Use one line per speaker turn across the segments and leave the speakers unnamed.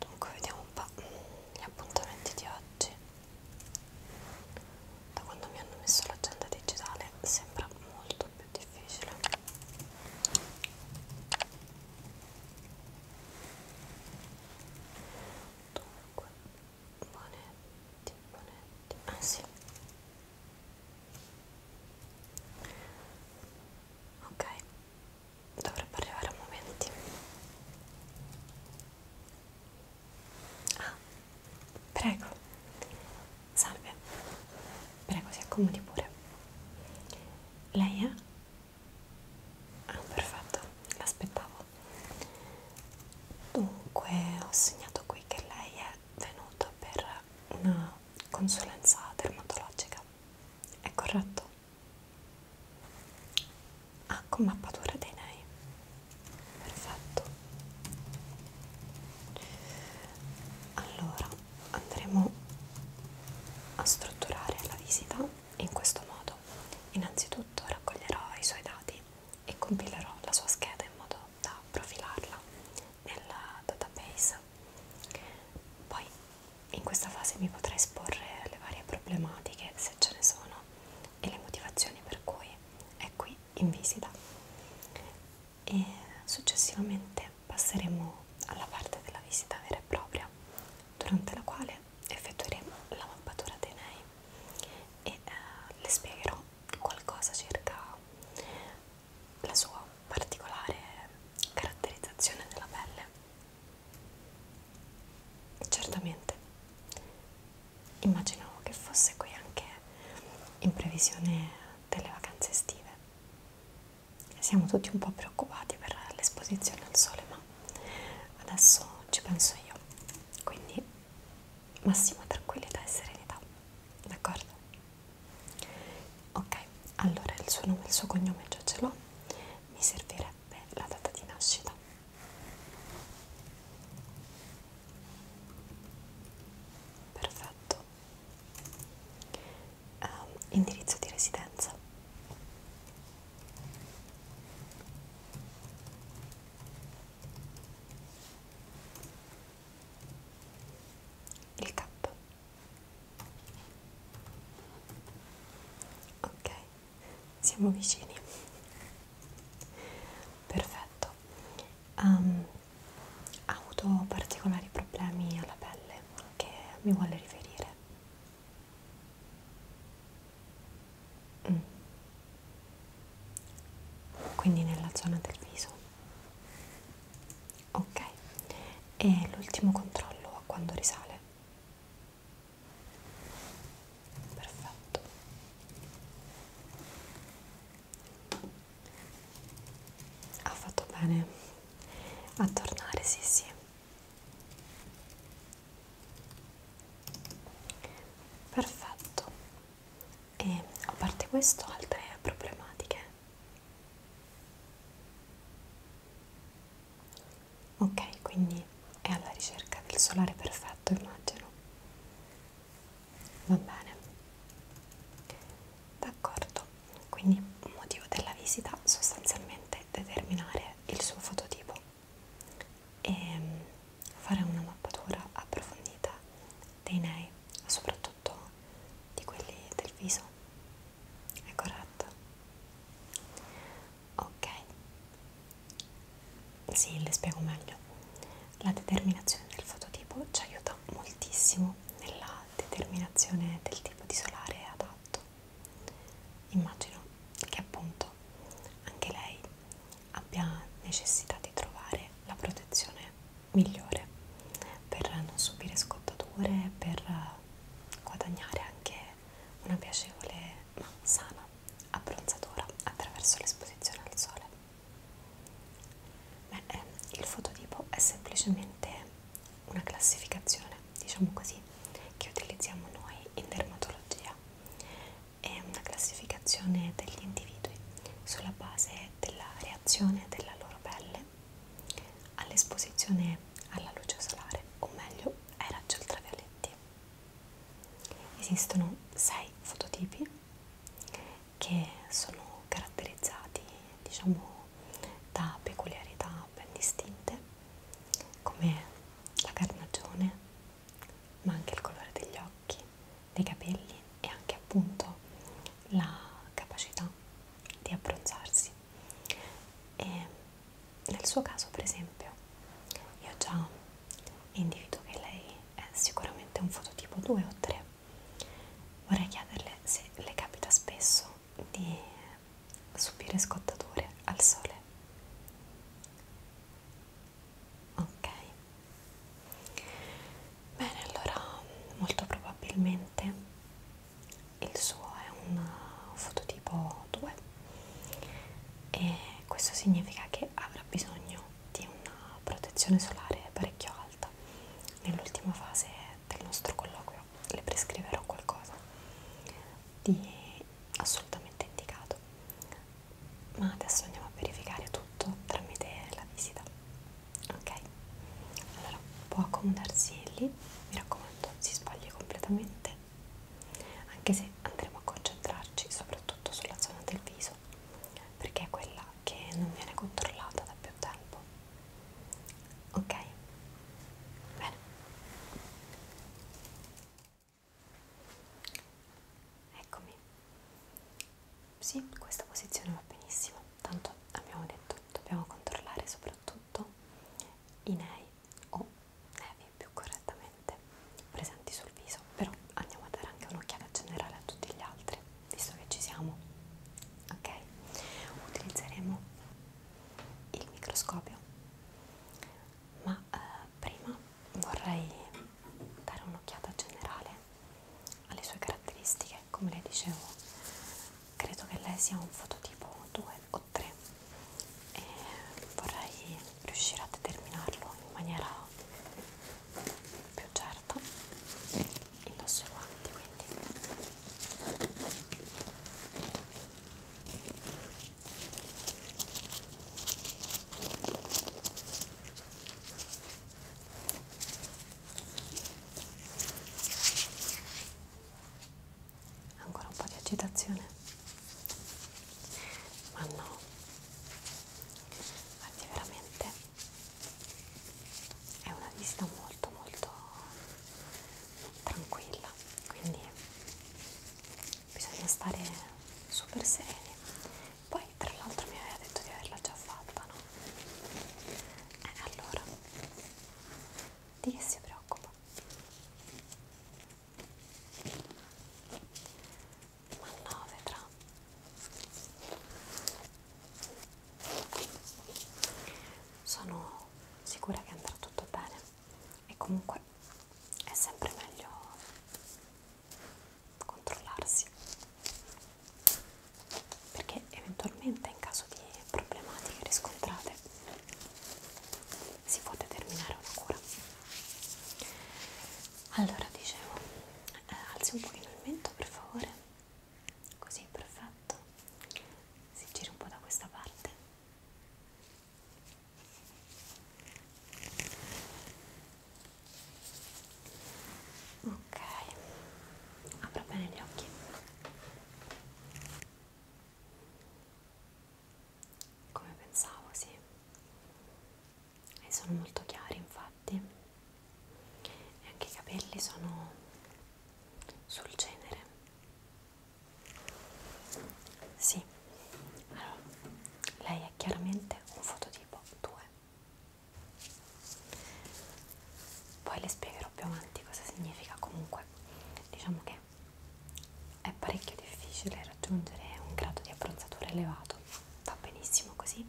Dunque vediamo un po' gli appuntamenti di oggi. Da quando mi hanno messo l'agenda digitale sembra molto più difficile. Dunque, bonetti, bonetti, ah sì. Ok, dovrebbe arrivare a momenti. Ah, prego. Salve. Prego, si accomodi pure. Lei è? Ah, perfetto, l'aspettavo. Dunque, ho segnato qui che lei è venuta per una consulenza dermatologica. È corretto? Ah, con mappatura dei nei. Perfetto. Allora, andremo a strutturare la visita in questo modo. Innanzitutto raccoglierò i suoi dati e compilerò la sua scheda in modo da profilarla nel database. Poi in questa fase mi potrà esporre le varie problematiche, se ce ne sono, e le motivazioni per cui è qui in visita. E successivamente passeremo alla parte della visita vera e propria, durante la quale effettueremo la mappatura dei nei e eh, le spiegherò qualcosa circa la sua particolare caratterizzazione della pelle. Certamente, immaginavo che fosse qui anche in previsione delle vacanze estive siamo tutti un po' preoccupati per l'esposizione al sole, ma adesso ci penso io. Quindi massima tranquillità e serenità, d'accordo? Ok, allora il suo nome e il suo cognome già ce l'ho, mi servirebbe la data di nascita. Perfetto um, indirizzo di residenza. Il K. Ok, siamo vicini. Perfetto. Um, ehm, ha avuto particolari problemi alla pelle che mi vuole riferire. Mm. Quindi nella zona del viso. Ok, e l'ultimo controllo a quando risale. Perfetto. Ha fatto bene a tornare, sì sì. Perfetto. E a parte questo, altre problematiche? Ok, quindi è alla ricerca del solare perfetto, immagino. Va bene. D'accordo quindi il motivo della visita sostanzialmente determinare il suo fototipo e ehm, fare una mappatura approfondita dei nei, soprattutto di quelli del viso, è corretto? Ok, sì, le spiego meglio. La determinazione del fototipo ci aiuta aiuta moltissimo nella determinazione del tipo di solare adatto. Immagino che appunto anche lei abbia necessità di trovare la protezione migliore per non subire scottature, per guadagnare anche una piacevole ma sana abbronzatura attraverso l'esposizione al sole. Beh, eh, il fototipo è semplicemente una classificazione, diciamo così, che utilizziamo noi in dermatologia. È una classificazione degli individui sulla base della reazione della loro pelle all'esposizione alla luce solare, o meglio ai raggi ultravioletti. Esistono sei fototipi che sono caratterizzati, diciamo, da peculiarità ben distinte come la carnagione, ma anche il colore degli occhi, dei capelli e anche appunto la capacità di abbronzarsi. E nel suo caso, per esempio, io già individuo che lei è sicuramente un fototipo 2 o 3. Vorrei chiederle se le capita spesso di subire scottature al sole. Ok. Bene, allora molto probabilmente il suo è un fototipo 2 e questo significa che avrà bisogno di una protezione solare parecchio alta nell'ultima fase del nostro colloquio sicuro le prescriverò qualcosa di assolutamente indicato ma adesso andiamo a verificare tutto tramite la visita ok allora può accomodarsi lì mi raccomando si sbagli completamente anche se andremo a concentrarci soprattutto sulla zona del viso perché è quella che non viene controllata da più tempo Ok? Bene. Eccomi. Sì, questa posizione va benissimo. Tanto abbiamo detto, dobbiamo controllare soprattutto i nei o nevi più correttamente presenti sul viso, però andiamo a dare anche un'occhiata generale a tutti gli altri visto che ci siamo, ok? Utilizzeremo il microscopio, ma eh, prima vorrei dare un'occhiata generale alle sue caratteristiche, come le dicevo, credo che lei sia un fototipo 2 o 3 e vorrei riuscire a determinarlo in maniera più certa indosso i guanti quindi ancora un po' di agitazione ma no guardi veramente è una vista molto molto tranquilla quindi bisogna stare super sereni poi tra l'altro mi aveva detto di averla già fatta no? e eh, allora di che si preoccupa? ma no vedrà sono sicura che andrà tutto bene e comunque è sempre meglio controllarsi perché eventualmente in caso di problematiche riscontrate si può determinare una cura allora dicevo eh, alzi un pochino il mento per favore così perfetto si gira un po' da questa parte ok apro bene gli occhi come pensavo sì e sono molto chiari infatti e anche i capelli sono sul genere sì allora lei è chiaramente un fototipo 2 poi le spiegherò più avanti cosa significa comunque diciamo che è parecchio difficile raggiungere un grado di abbronzatura elevato va benissimo così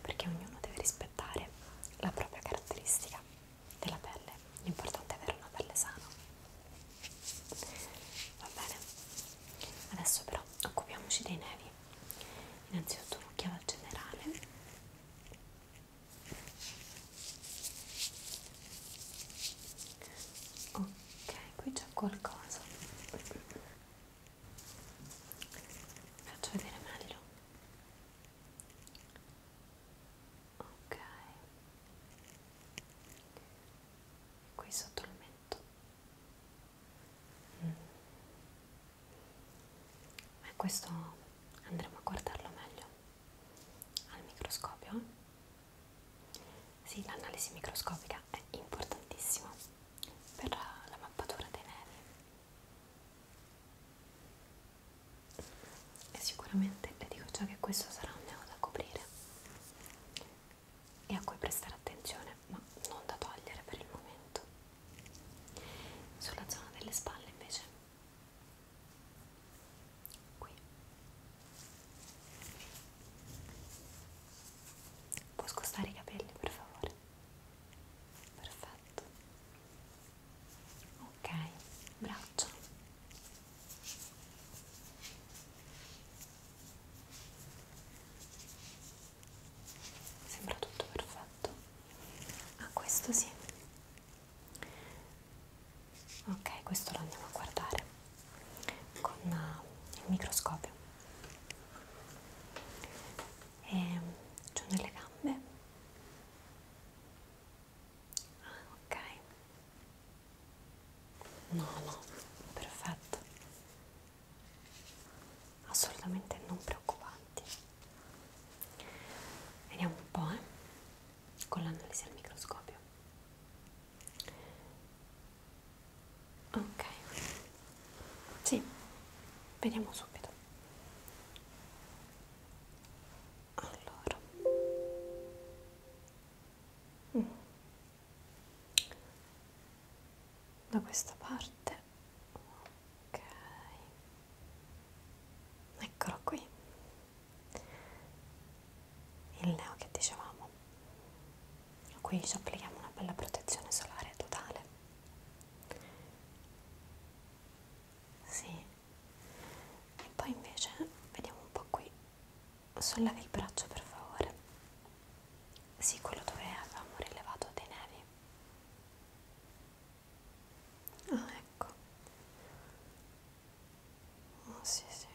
perché ognuno deve rispettare migliorare la propria caratteristica della pelle. L'importante è avere una pelle sana. Va bene? Adesso però occupiamoci dei nevi. Innanzitutto un'occhiata generale. Ok, qui c'è qualcosa. Faccio vedere meglio ok e qui sotto il mento mm. e questo andremo a guardarlo meglio al microscopio eh? sì l'analisi microscopica è importantissima per la mappatura dei nervi e sicuramente le dico già che questo sarà un neo da coprire e a cui prestare attenzione ma non da togliere per il momento sulla zona delle spalle invece qui può scostare i capelli per favore perfetto perfetto ok braccia sembra tutto perfetto ah questo sì ok questo lo andiamo a guardare con uh, il microscopio e giù nelle gambe ah, ok no no perfetto assolutamente non preoccupanti vediamo un po' eh? con l'analisi al microscopio ok sì vediamo subito allora mm. da questa parte ok eccolo qui il neo che dicevamo qui ci applichiamo una bella protezione solare totale sì e poi invece vediamo un po' qui sollevi il braccio per favore sì quello dove avevamo rilevato dei nevi ah ecco oh sì sì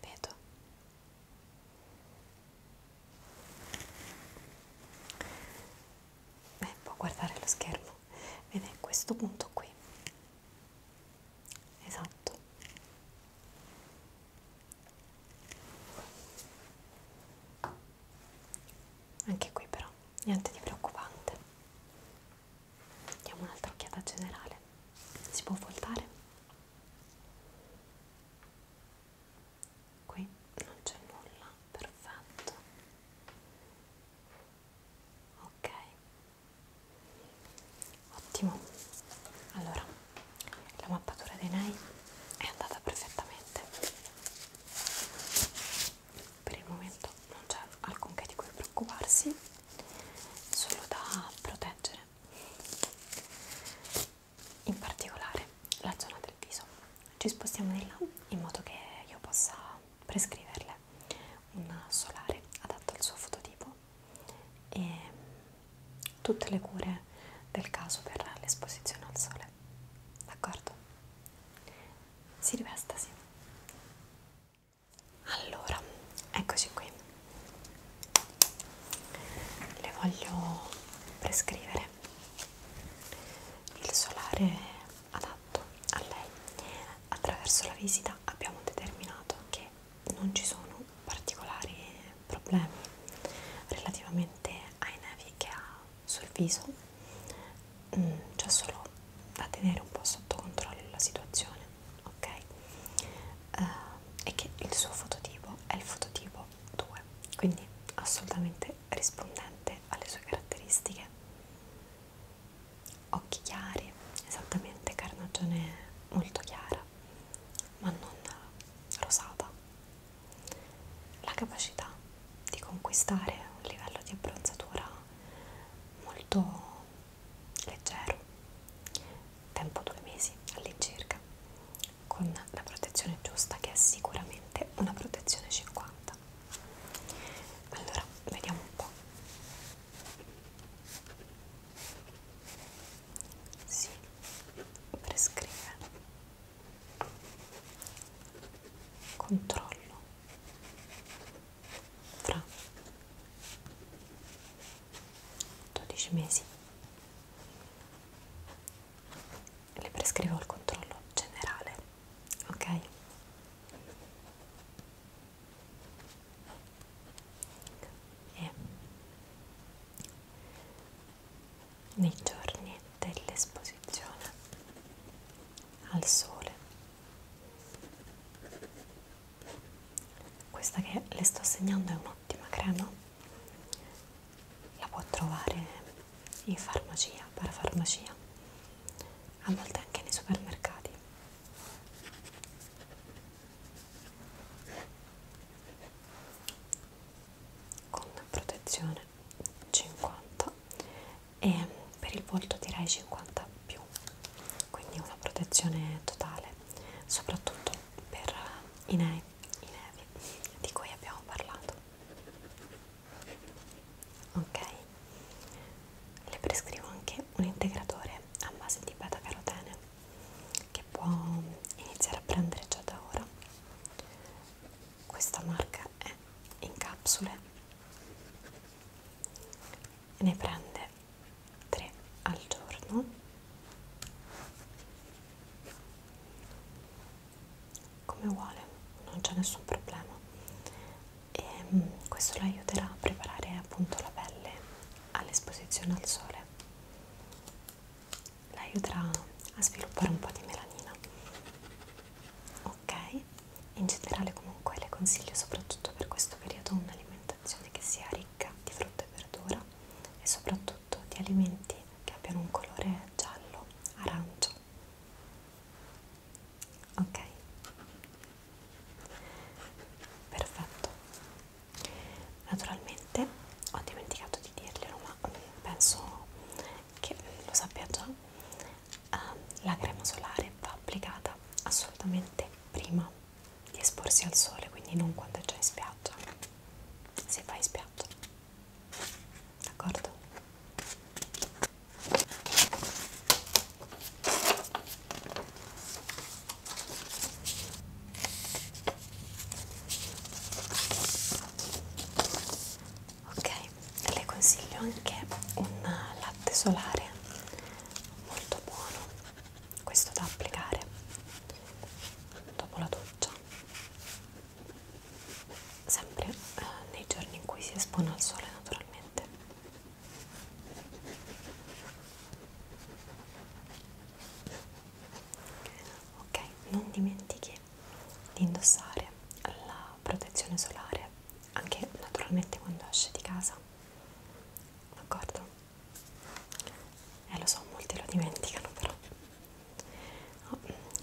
vedo Beh, può guardare lo schermo, vede questo punto qui. Esatto. Anche qui però, niente di preoccupante. Diamo un'altra occhiata generale. Si può voltare? qui non c'è nulla, perfetto ok ottimo allora la mappatura di Nei è andata perfettamente per il momento non c'è alcunché di cui preoccuparsi solo da proteggere in particolare la zona del viso. Ci spostiamo di là in modo che io possa prescriverle un solare adatto al suo fototipo e tutte le cure del caso per l'esposizione al sole. D'accordo? Si rivestasi. Allora, eccoci qui. Le voglio prescrivere il solare adatto a lei. Attraverso la visita abbiamo determinato che non ci sono particolari problemi relativamente ai nevi che ha sul viso, mm, c'è solo da tenere un po' sotto controllo la situazione, ok? Uh, e che il suo fototipo è il fototipo tipo 2 quindi assolutamente rispondente alle sue caratteristiche occhi chiari esattamente carnagione molto chiara ma non rosata la capacità di conquistare un livello di abbronzatura molto leggero tempo due mesi all'incirca con la protezione giusta che è sicuramente una protezione 50 allora vediamo un po' si prescrive controllo fra 12 mesi le prescrivo il controllo generale, ok? E nei giorni dell'esposizione al sole, questa che le sto segnando è un'ottima crema la può trovare in farmacia, parafarmacia, a volte anche nei supermercati. Con protezione 50 e per il volto direi 50 più, quindi una protezione totale, soprattutto per i nei i nevi di cui abbiamo parlato ok le prescrivo anche un integratore a base di beta carotene che può iniziare a prendere già da ora questa marca è in capsule ne prende 3 al giorno come vuole non c'è nessun problema e mm, questo lo aiuterà a preparare appunto la pelle all'esposizione al sole la aiuterà a sviluppare un po' di melanina ok in generale comunque le consiglio soprattutto per questo periodo un'alimentazione che sia ricca di frutta e verdura e soprattutto soprattutto di alimenti che abbiano un colore giallo arancio ok perfetto naturalmente ho dimenticato di dirglielo ma mm, penso che lo sappia già ehm, la crema solare va applicata assolutamente prima di esporsi al sole quindi non quando è già in spiaggia se vai in spiaggia d'accordo? ok le consiglio anche un latte solare molto buono questo da applicare dopo la doccia sempre eh, nei giorni in cui si espone al sole naturalmente ok non dimentichi di indossare la protezione solare anche naturalmente quando esci di casa d'accordo eh lo so molti lo dimenticano però oh,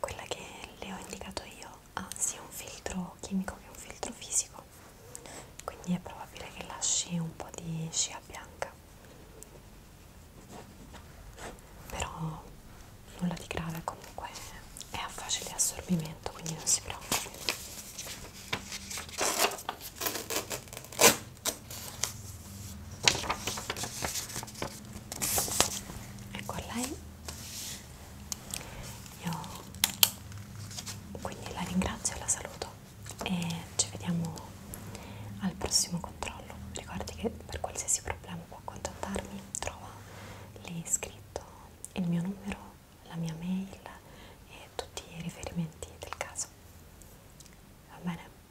quella che le ho indicato io ha sia un filtro chimico che un filtro fisico quindi è probabile che lasci un po' di scia bianca però nulla di grave comunque è a facile assorbimento quindi non si preoccupi ecco lei io quindi la ringrazio e la saluto e ci vediamo al prossimo controllo ricordi che per qualsiasi problema può contattarmi trova lì scritto il mio numero la mia mail e tutti i riferimenti del caso va bene